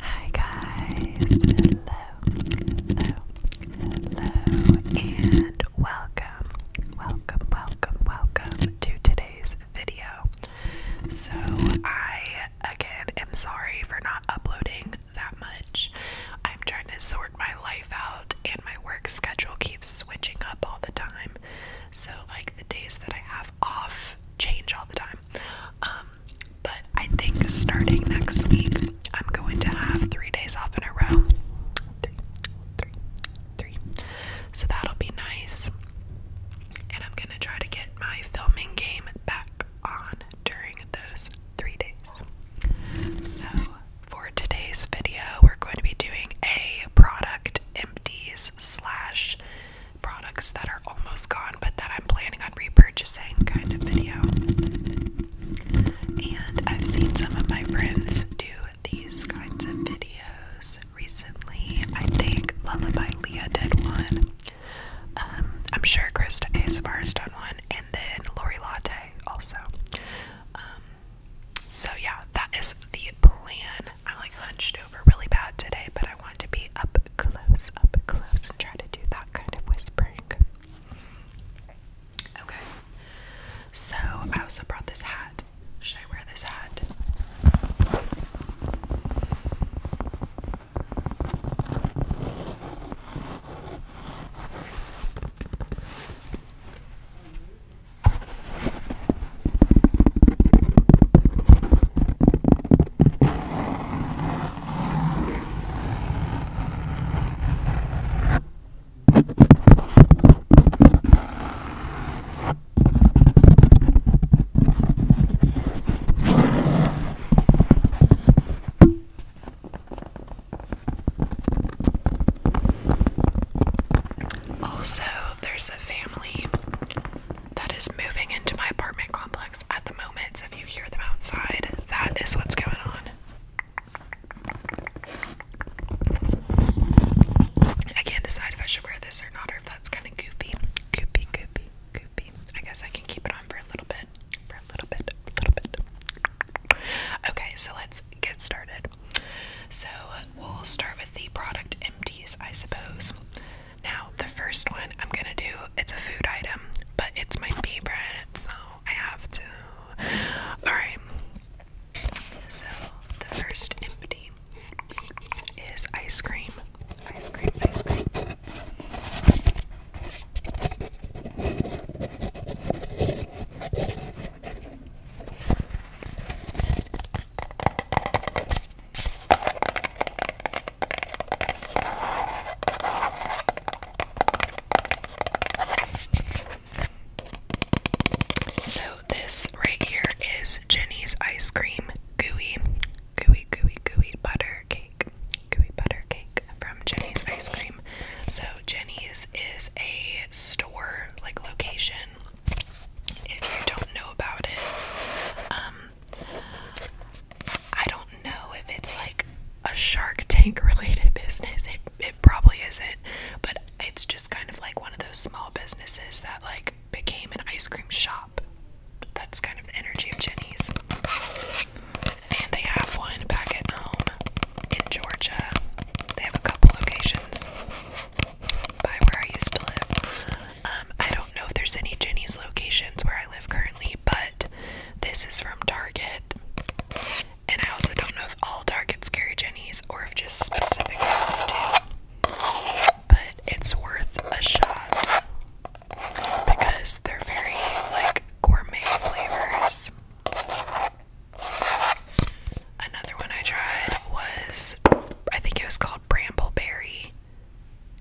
Hi guys, hello, hello, hello, and welcome, welcome, welcome, welcome to today's video. So, I again am sorry for not uploading that much. I'm trying to sort my life out, and my work schedule keeps switching up all the time. So, like, the days that I have off change all the time. Um, but I think starting next week, I'm going to have three days off in a row. Three, three, three. So that'll be nice. And I'm going to try to get my filming game back on during those three days. So for today's video, we're going to be doing a product empties slash products that are almost gone but that I'm planning on repurchasing kind of video. And I've seen some of my friends do these kinds of videos recently. I think Lullaby Leah did one. Um, I'm sure Krista ASMR has done one, and then Lori Latte also. Um, so yeah, that is the plan. I like hunched really bad today, but I want to be up close, up close, and try to do that kind of whispering. Okay. So I also brought this hat. Should I wear this hat? Also, there's a family that is moving into my apartment complex at the moment. So if you hear them outside, that is what's going on. I can't decide if I should wear this or not, or if that's kind of goofy. Goofy, goofy, goofy. I guess I can keep it on for a little bit. For a little bit, little bit. Okay, so let's get started. So we'll start with the product empties, I suppose. Now, the first one I'm gonna do, it's a food item, but it's my favorite, so I have to. Alright, so the first empty is ice cream. Ice cream, ice cream. So, this right here is Jenny's ice cream gooey, gooey, gooey, gooey butter cake. Gooey butter cake from Jenny's ice cream. So, Jenny's is a store like location. If you don't know about it, um, I don't know if it's like a Shark Tank related business. It, it probably isn't, but it's just kind of like one of those small businesses that like became an ice cream shop. That's kind of the energy of Jenny's. And they have one back at home in Georgia. They have a couple locations by where I used to live. Um, I don't don't know if there's any Jenny's locations where I live currently, but this is from Target. And I also don't know if all Targets carry Jennies or if just specific ones do. But it's worth a shot because they're very like gourmet flavors. Another one I tried was I think it was called called Brambleberry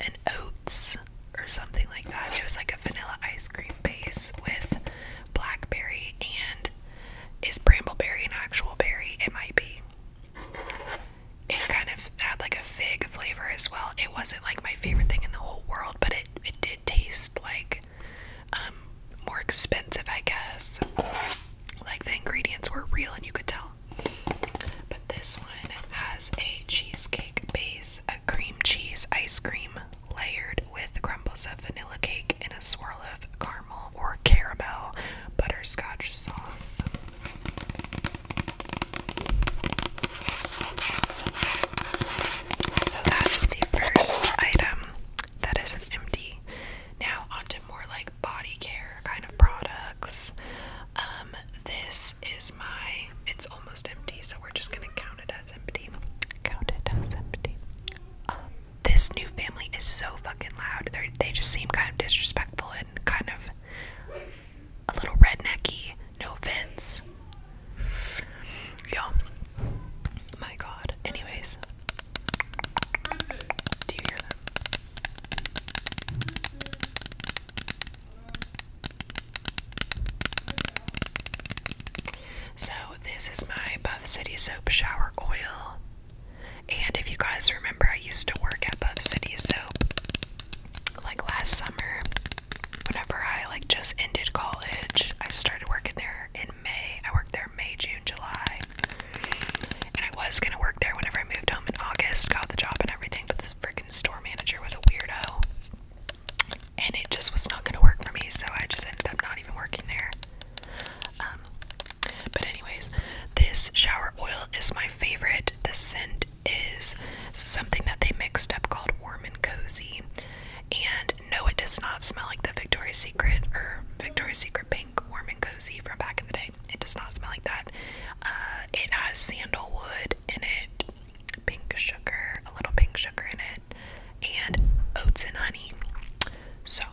and Oats or something like that. It was like a vanilla ice cream base with blackberry and is brambleberry an actual berry? It might be. It kind of had like a fig flavor as well. It wasn't like my favorite thing in the whole world, but it, it did taste like um, more expensive, I guess. Like the ingredients were real and you could tell but this one has a cheesecake base, a cream cheese ice cream layered with crumbles of vanilla cake and a swirl of caramel or caramel butterscotch sauce. So that is the first item that empty. Now onto more like body care kind of products. Um, this is my, it's almost empty, so we're just gonna count it as empty. Count it as empty. Um, this new family is so fucking loud. they they just seem kind of disrespectful and kind of a little rednecky. No offense. you My god. Anyways. So, this is my Buff City Soap Shower Oil. And if you guys remember, I used to work at Buff City Soap like last summer. Whenever I like just ended college, I started working there in May. I worked there May, June, July. I was gonna work there whenever I moved home in August, got the job and everything, but this freaking store manager was a weirdo. And it just was not gonna work for me, so I just ended up not even working there. Um, but anyways, this shower oil is my favorite. The scent is something that they mixed up called warm and cozy. And no, it does not smell like the Victoria's Secret or Victoria's Secret pink warm and cozy from back in the day it does not smell like that. Uh, it has sandalwood in it, pink sugar, a little pink sugar in it, and oats and honey. So,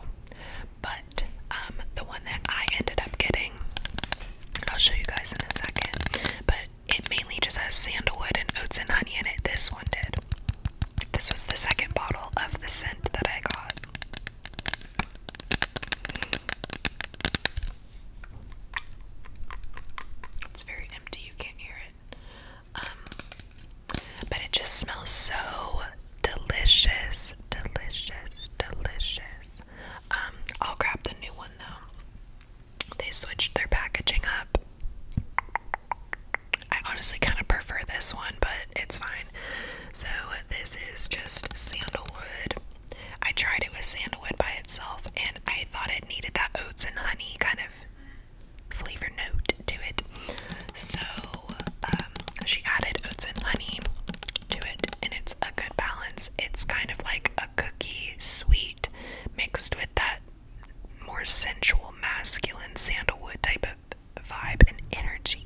but um, the one that I ended up getting, I'll show you guys in a second, but it mainly just has sandalwood and oats and honey in it. This one did. This was the second bottle of the scent that I got. It's very empty, you can't hear it. Um, but it just smells so delicious, delicious, delicious. Um, I'll grab the new one though. They switched their packaging up. I honestly kind of prefer this one, but it's fine. So, this is just sandalwood I tried it with sandalwood by itself, and I thought it needed that oats and honey kind of flavor note to it. So um, she added oats and honey to it, and it's a good balance. It's kind of like a cookie sweet mixed with that more sensual, masculine sandalwood type of vibe and energy.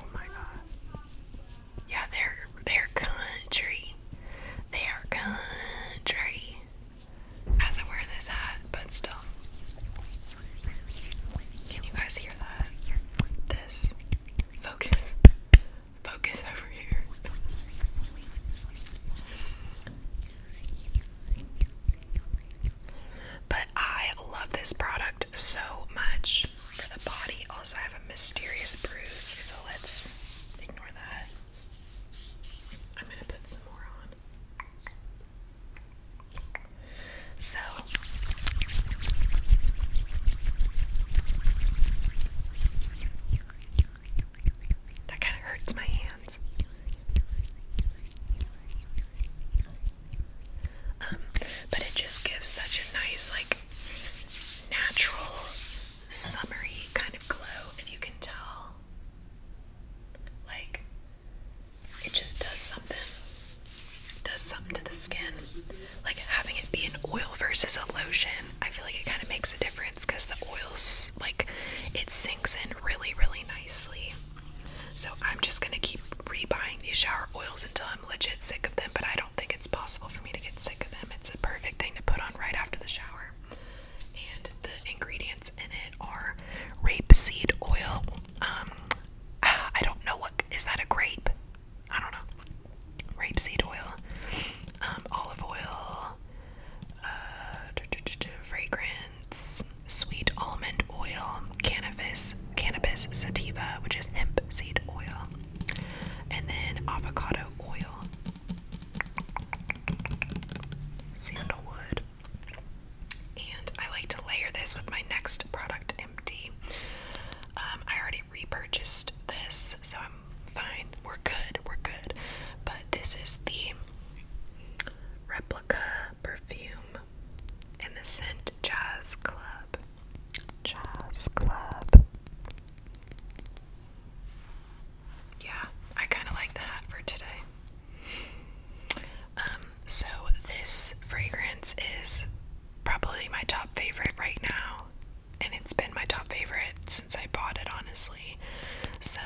Oh my god. Yeah, they're they're country. They are country. As I wear this hat, but still. Can you guys hear that? This focus. Focus over here. But I love this product so much. For the body, also I have a mysterious bruise, so let's ignore that. I'm gonna put some more on. So that kind of hurts my hands. Um, but it just gives such a nice, like, natural, summery kind of glow, and you can tell. Like, it just does something. It does something to the skin. Like having it be an oil versus a lotion I feel like it kind of makes a difference because the oils like it sinks in really, really nicely. So I'm just gonna keep rebuying these shower oils until I'm legit sick of them. But I don't think it's possible for me to get sick of them. It's a perfect thing to put on right after the shower. And the ingredients in it are rapeseed oil. Um, I don't know what is that a grape? I don't know. Rapeseed oil, um, olive oil, uh, fragrance, sweet almond oil, cannabis, cannabis sativa, which is hemp seed oil, and then avocado oil, sandalwood. And I like to layer this with my next product, Empty. Um, I already repurchased this, so I'm fine. We're good. We're good. But this is the replica perfume in the scent Jazz Club. Jazz Club. Yeah, I kind of like that for today. Um, so this fragrance is probably my top favorite right now and it's been my top favorite since I bought it, honestly. So,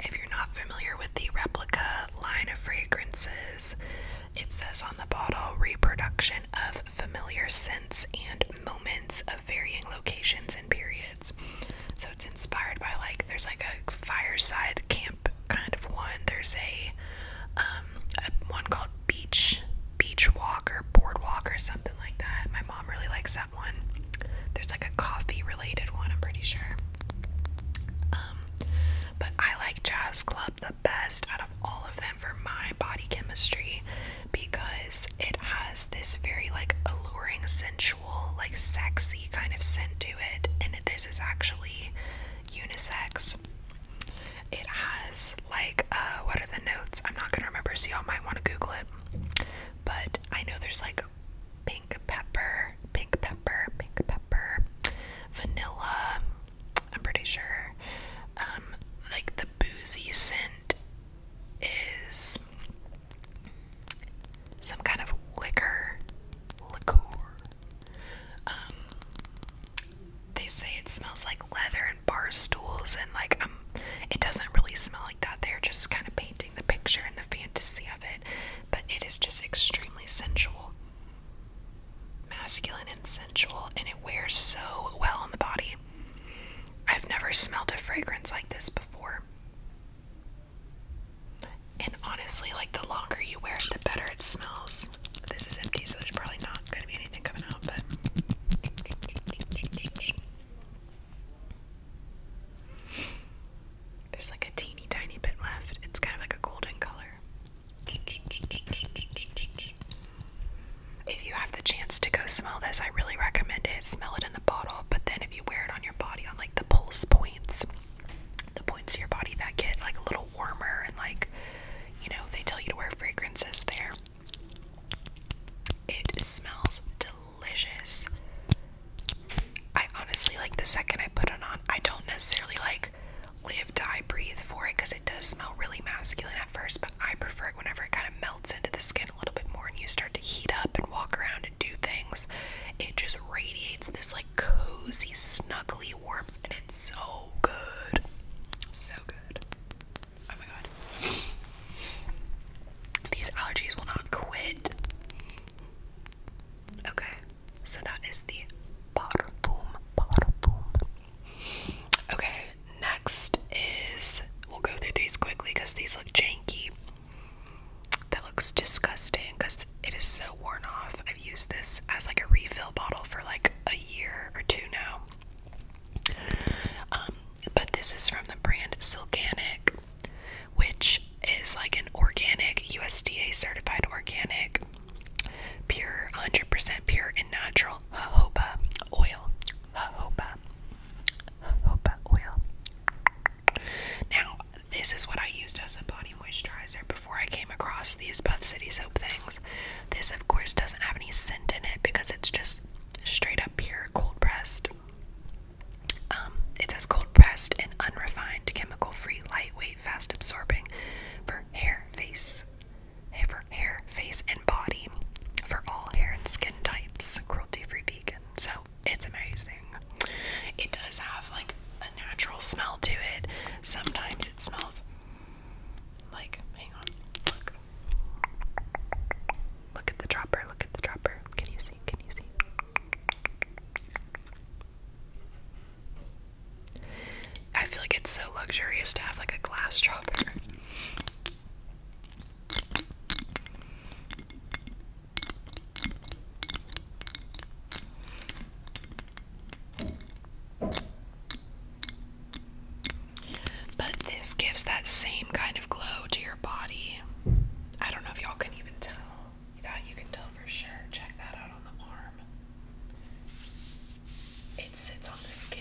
if you're not familiar with the replica line of fragrances, it says on the bottle reproduction of familiar scents and moments of varying locations and periods. So, it's inspired by like there's like a fireside camp kind of one, there's a, um, one called Beach. Beach walk or boardwalk or something something like that. My mom really likes that one. There's like a coffee related one, I'm pretty sure. Um, but I like Jazz Club the best out of all of them for my body chemistry because it has this very like alluring, sensual, like sexy kind of scent to it, and this is actually unisex. It has like uh what are the notes? I'm not gonna remember, so y'all might want to Google it. But I know there's like pink pepper, pink pepper, pink pepper, vanilla, I'm pretty sure. Um, like the boozy scent is some kind of liquor, liqueur. Um, they say it smells like leather bar stools and like um, it doesn't really smell like that. They're just kind of painting the picture and the fantasy of it, but it is just extremely sensual. Masculine and sensual and it wears so well on the body. I've never smelled a fragrance like this before. And honestly, like the longer you wear it, the better it smells. This is empty, so there's probably not there's like a teeny tiny bit left. It's kind of like a golden color. If you have the chance to go smell this, I really recommend it. Smell it in the bottle, but then if you wear it on your body, on like the pulse points, the points of your body that get like a little warmer and like, you know, they tell you to wear fragrances there. It smells delicious. I honestly like the second I put it on. I don't necessarily like live, die, breathe for it because it does smell really masculine at first, but I prefer it whenever it kind of melts into the skin a little bit more and you start to heat up and walk around and do things. It just radiates this like cozy, snuggly warmth, and it's so good. So good. Oh my god. These allergies will not quit. Okay, so that is the Okay, next is we'll go through these quickly because these look janky. That looks disgusting because it is so worn off. I've used this as like a refill bottle for like a year or two now. Um, but this is from the brand Silganic, which is like an organic, USDA certified organic, pure, 100 pure and natural jojoba oil. Jojoba. Jojoba oil. Now, this is what I used as a body moisturizer before I came across these Buff City soap things. This, of course, doesn't have any scent in it because it's just straight up pure cold pressed. Um, it says cold pressed and unrefined, chemical free, lightweight, fast absorbing for hair, face, for hair, face, and body for all hair and skin types, cruelty free vegan. So it's amazing. It does have like a natural smell to it. Sometimes it smells like, Look at the dropper, look at the dropper. Can you see? Can you see? I feel like it's so luxurious to have like a glass dropper. But this gives that same kind of glow to your body. I don't know if y'all can even tell. You thought you can tell for sure. Check that out on the arm. It sits on the skin.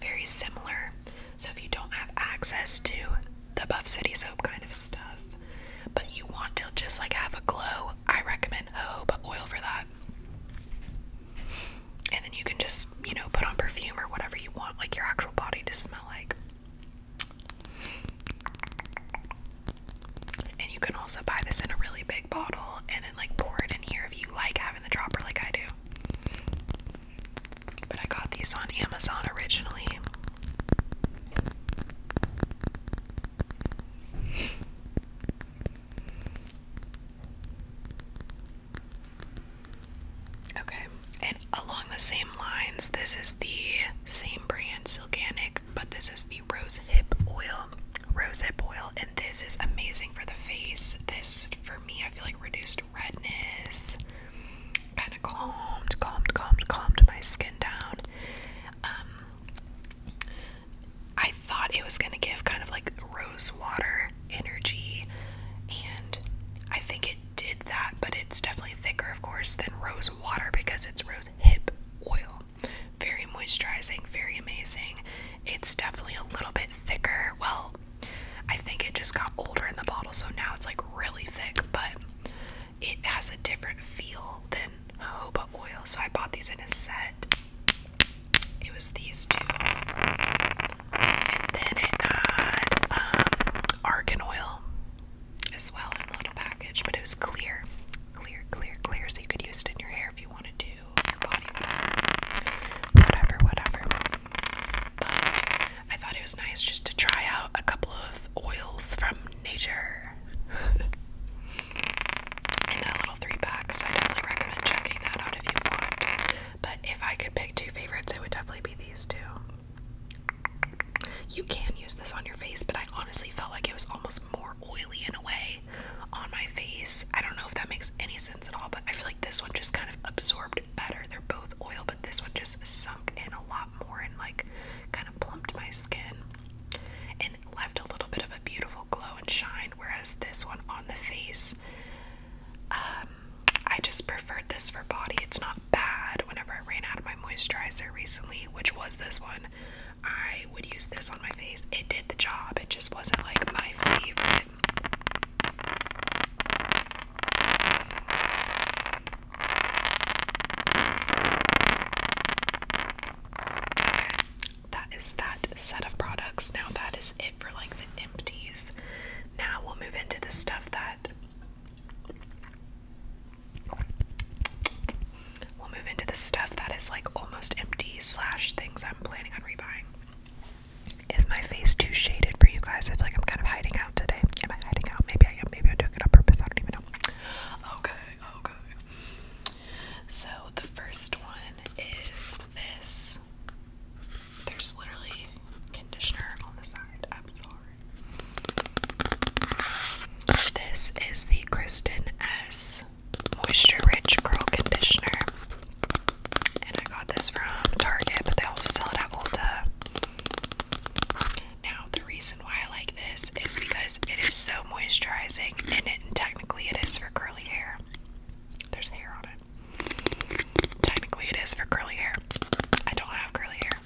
Very similar. So if you don't have access to the Buff City soap kind of stuff, but you want to just like have a glow, I recommend a hope oil for that and then you can just, you know, put on perfume or whatever you want, like your actual body to smell like. And you can also buy this in a really big bottle and then like pour it in here if you like having the dropper like I do. But I got these on Amazon originally. Okay, and along the same lines, this is the same brand, Silganic, but this is the rose hip oil. Rose oil, and this is amazing for the face. This, for me, I feel like reduced redness, kind of calmed, calmed, calmed, calmed my skin down. Um, I thought it was going to give kind of like rose water energy, and I think it did that, but it's definitely thicker, of course, than rose water because it's rose hip oil. Very moisturizing, very amazing. It's definitely a little bit thicker. Well, I think it just got older in the bottle, so now it's like really thick, but it has a different feel than jojoba oil. So I bought these in a set. It was these two. And then it had um, argan oil as well in a little package, but it was clear. Clear, clear, clear, so you could use it in your hair if you want to, your body, whatever, whatever. But I thought it was nice just to try out a couple of oils from nature. in little three pack. So I definitely recommend checking that out if you want. But if I could pick two favorites, it would definitely be these two. You can use this on your face, but I honestly felt like it was almost more oily in a way on my face. I don't know if that makes any sense at all, but I feel like this one just kind of absorbed better. They're both oil, but this one just sunk in a lot more and like kind of plumped my skin and left a little bit of a beautiful glow and shine, whereas this one on the face, um, I just preferred this for body. It's not bad. Whenever I ran out of my moisturizer recently, which was this one, I would use this on my face. It did the job, it just wasn't like my favorite that is that set of products. Now that is it for like the empties. Now we'll move into the stuff that we'll move into the stuff that is like almost empty slash things I'm planning on rebuying. Is my face too shaded for you guys? I feel like I'm kind of hiding out today. Am I hiding out? Maybe I am. Maybe I took it on purpose. I don't even know. Okay, okay. So the first one is this. There's literally conditioner on the side. I'm sorry. This is the Kristen S Moisture Rich Curl Conditioner. And I got this from Target, but they also sell it at Ulta. Now, the reason why I like this is because it is so moisturizing, and technically it is for curls curly hair. There's hair on it. Technically, it is for curly hair. I don't have curly hair.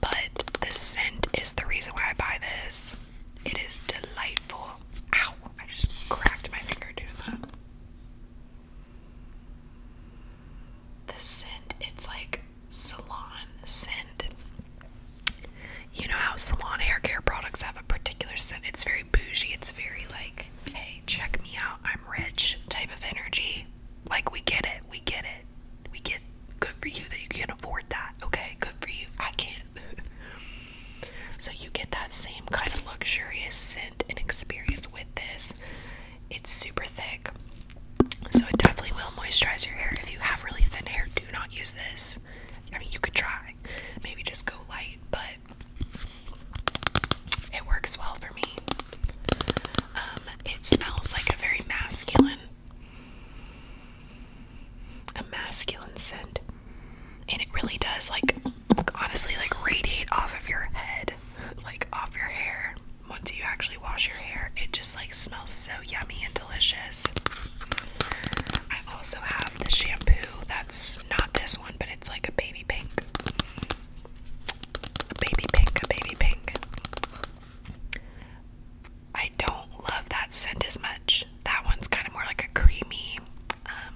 But the scent is the reason why I buy this. It is delightful. Ow! I just cracked my finger doing that. The scent, it's like salon scent you know how salon hair care products have a particular scent. It's very bougie. It's very like, hey, check me out. I'm rich type of energy. Like, we get it. We get it. We get good for you that you can afford that. Okay, good for you. I can't. so, you get that same kind of luxurious scent and experience with this. It's super thick. So, it definitely will moisturize your hair. If you have really thin hair, do not use this. I mean, you could try. Maybe just go light, but it works well for me. Um, it smells like a very masculine, a masculine scent, and it really does like, honestly, like radiate off of your head, like off your hair. Once you actually wash your hair, it just like smells so yummy and delicious. I also have the shampoo that's not this one, but it's like a baby pink. A baby pink, a baby pink. I don't love that scent as much. That one's kind of more like a creamy, um,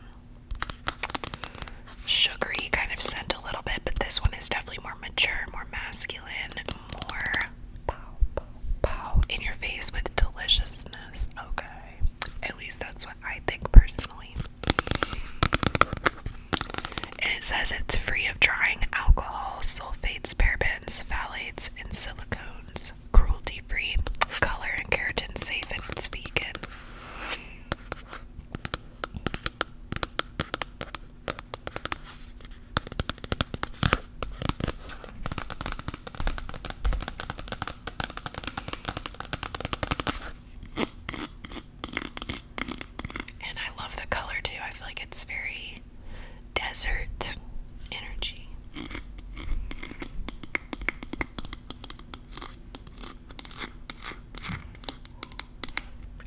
sugary kind of scent a little bit, but this one is definitely more mature, more masculine, more pow, pow in your face with deliciousness. Okay. At least that's what I think personally. And it says it's free of drying alcohol, sulfates, parabens, phthalates, and silicones. Cruelty free, color and keratin safe, and it's vegan. And I love the color too. I feel like it's very desert energy.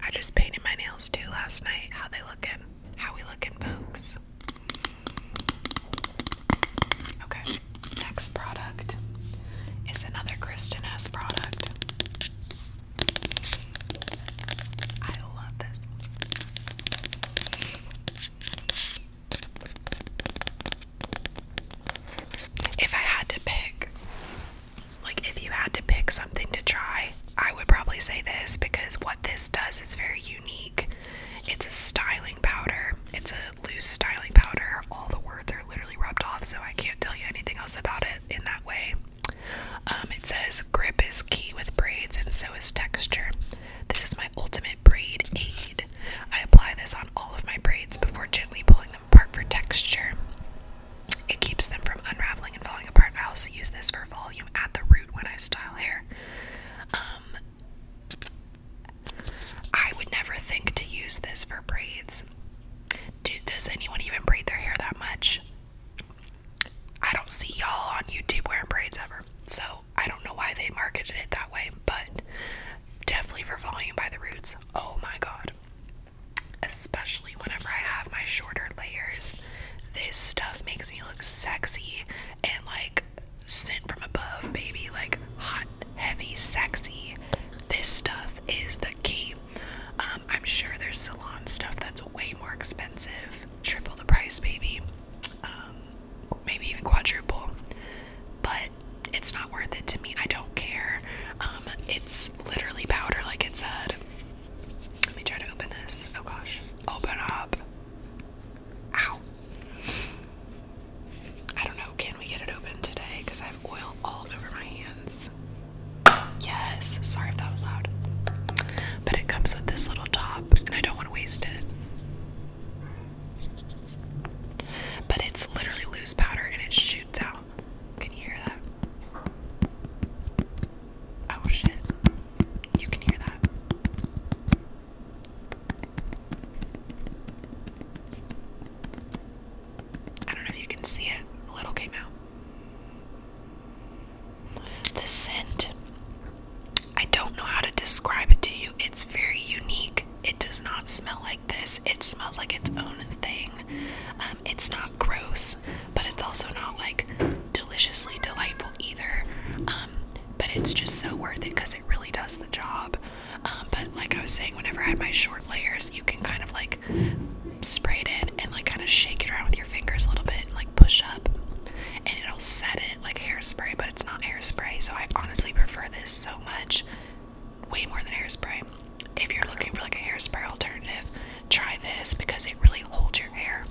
I just painted my nails too last night. How they looking? How we looking, folks? Okay, next product is another Kristen S product. I love this. If I had to pick, like if you had to pick something to try, I would probably say this because what this does is very unique. It's a styling powder. It's a loose styling powder. All the words are literally rubbed off, so I can't tell you anything else about it in that way. Um, it says grip is key with braids, and so is texture. This is my ultimate braid aid. I apply this on all of my braids before gently pulling them apart for texture. It keeps them from unraveling and falling apart. I also use this for volume at the root when I style hair. Um, I would never think to use this for braids. Do, does anyone even braid their hair that much? I don't see y'all on YouTube wearing braids ever, so I don't know why they marketed it that way, but definitely for volume by the roots. Oh my god. Especially whenever I have my shorter layers, this stuff makes me look sexy and like scent from above, baby, like hot, heavy, sexy. This stuff is the key. Um, I'm sure there's salon stuff that's way more expensive, triple the price, baby, um, maybe even quadruple, but it's not worth it to me. I don't care. Um, it's literally powder, like it said. Let me try to open this. Oh gosh. Open up. Ow. I don't know, can we get it open today? Because I have oil all over my hands. Yes, sorry if that was loud. But it comes with this little top, and I don't want to waste it. But it's literally loose powder and it shoots out. Can you hear that? Oh shit. You can hear that. I don't know if you can see it. A little came out. The scent, I don't know how to describe it to you. It's very unique. It does not smell like this, it smells like its own thing. Um, it's not gross, but it's also not like deliciously delightful either. Um, but it's just so worth it because it really does the job. Um, but like I was saying, whenever I had my short layers, you can kind of like spray it in and like kind of shake it around with your fingers a little bit and like push up, and it'll set it like hairspray, but it's not hairspray. So I honestly prefer this so much, way more than hairspray. If you're looking for like a hairspray alternative, try this because it really holds your hair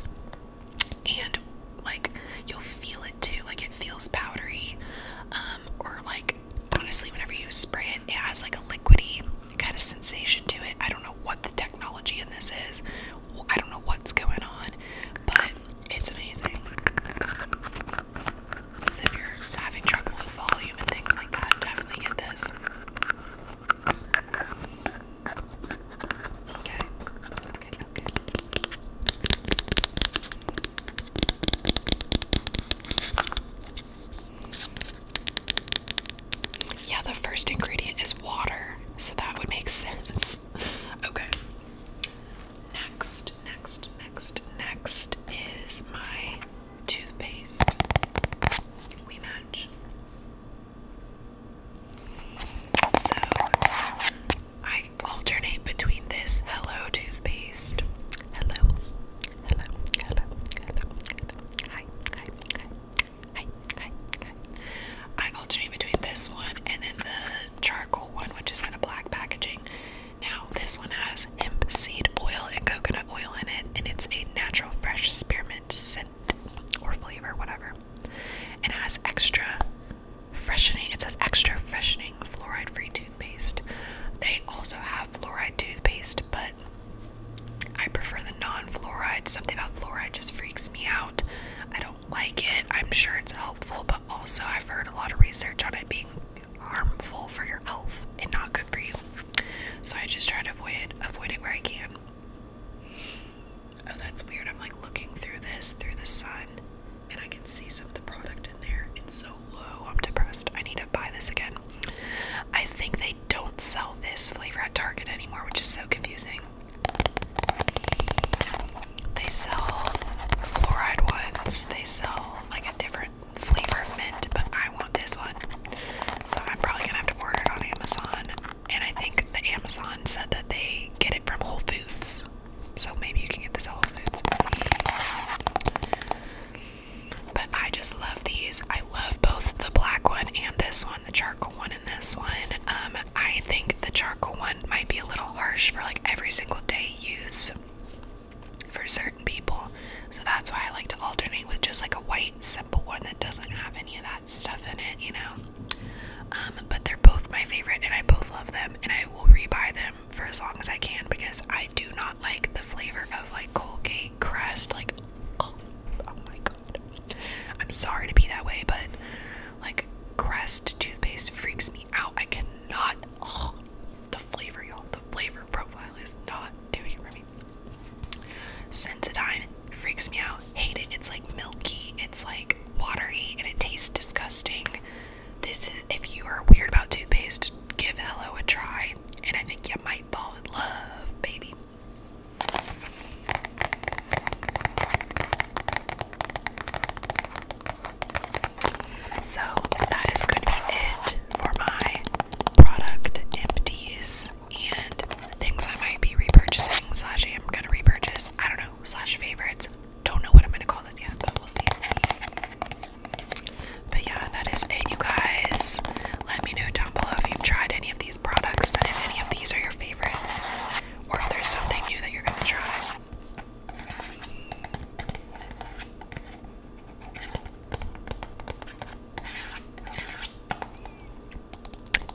and like you'll feel it too like it feels powdery um or like honestly whenever you spray it it has like a liquidy kind of sensation to it i don't know what the technology in this is i don't know what's going on but it's amazing so if you're having trouble with volume and things like that definitely get this okay okay yeah, the first ingredient is water, so that would make sense. okay. Next, next, next, next is my toothpaste. We match. So I alternate between this hello toothpaste. Hello. Hello. Hello. Hello. Hi. Hi. Hi. Hi. I alternate between this one and then the charcoal one, which is in a black packaging. Now, this one has hemp seed oil and coconut oil in it, and it's a natural fresh spearmint scent or flavor, whatever. And it has extra freshening. It says extra freshening fluoride-free toothpaste. They also have fluoride toothpaste, but I prefer the non-fluoride. Something about fluoride just freaks me out. I don't like it. I'm sure it's helpful, but also I've heard a lot of research on it being harmful for your health and not good for you. So I just try to avoid it, avoid it where I can. Oh, that's weird. I'm like looking through this, through the sun, and I can see some of the product in there. It's so low. I'm depressed. I need to buy this again. I think they don't sell this flavor at Target anymore, which is so confusing. They sell fluoride ones, they sell like a different flavor of mint, but I want this one. So I'm probably gonna have to order it on Amazon. And I think the Amazon said that they get it from Whole Foods. So maybe you can get this Whole Foods. But I just love these. I love both the black one and this one, the charcoal one and this one. Um, I think the charcoal one might be a little harsh for like every single day use for certain people. So that's why I like to alternate with just like a white simple one that doesn't have any of that stuff in it, you know. Um, but they're both my favorite, and I both love them, and I will rebuy them for as long as I can because I do not like the flavor of like Colgate Crest. Like, oh, oh my god, I'm sorry to be that way, but like Crest toothpaste freaks me out. I cannot. Oh, the flavor, y'all. The flavor profile is not doing it for me. Sensodyne freaks me out. Hate it. It's like milky, it's like watery, and it tastes disgusting. This is if you are weird about toothpaste, give Hello a try, and I think you might fall in love, baby. So that is going to be it for my product empties and things I might be repurchasing slash I am going to repurchase. I don't know slash favorites. Don't know what I'm gonna call this yet, but we'll see. But yeah, that is it, you guys. Let me know down below if you've tried any of these products and if any of these are your favorites, or if there's something new that you're gonna try.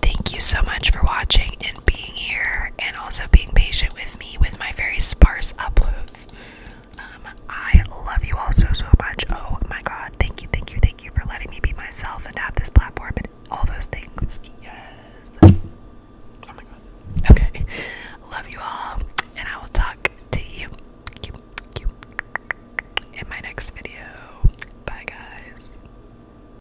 Thank you so much for watching and being here, and also being patient with me with my very sparse uploads. Um, I love you all so so much. Oh my god, thank you, thank you, thank you for letting me be myself and have this platform and all those things. Yes. Oh my Okay. Love you all, and I will talk to you in my next video. Bye, guys.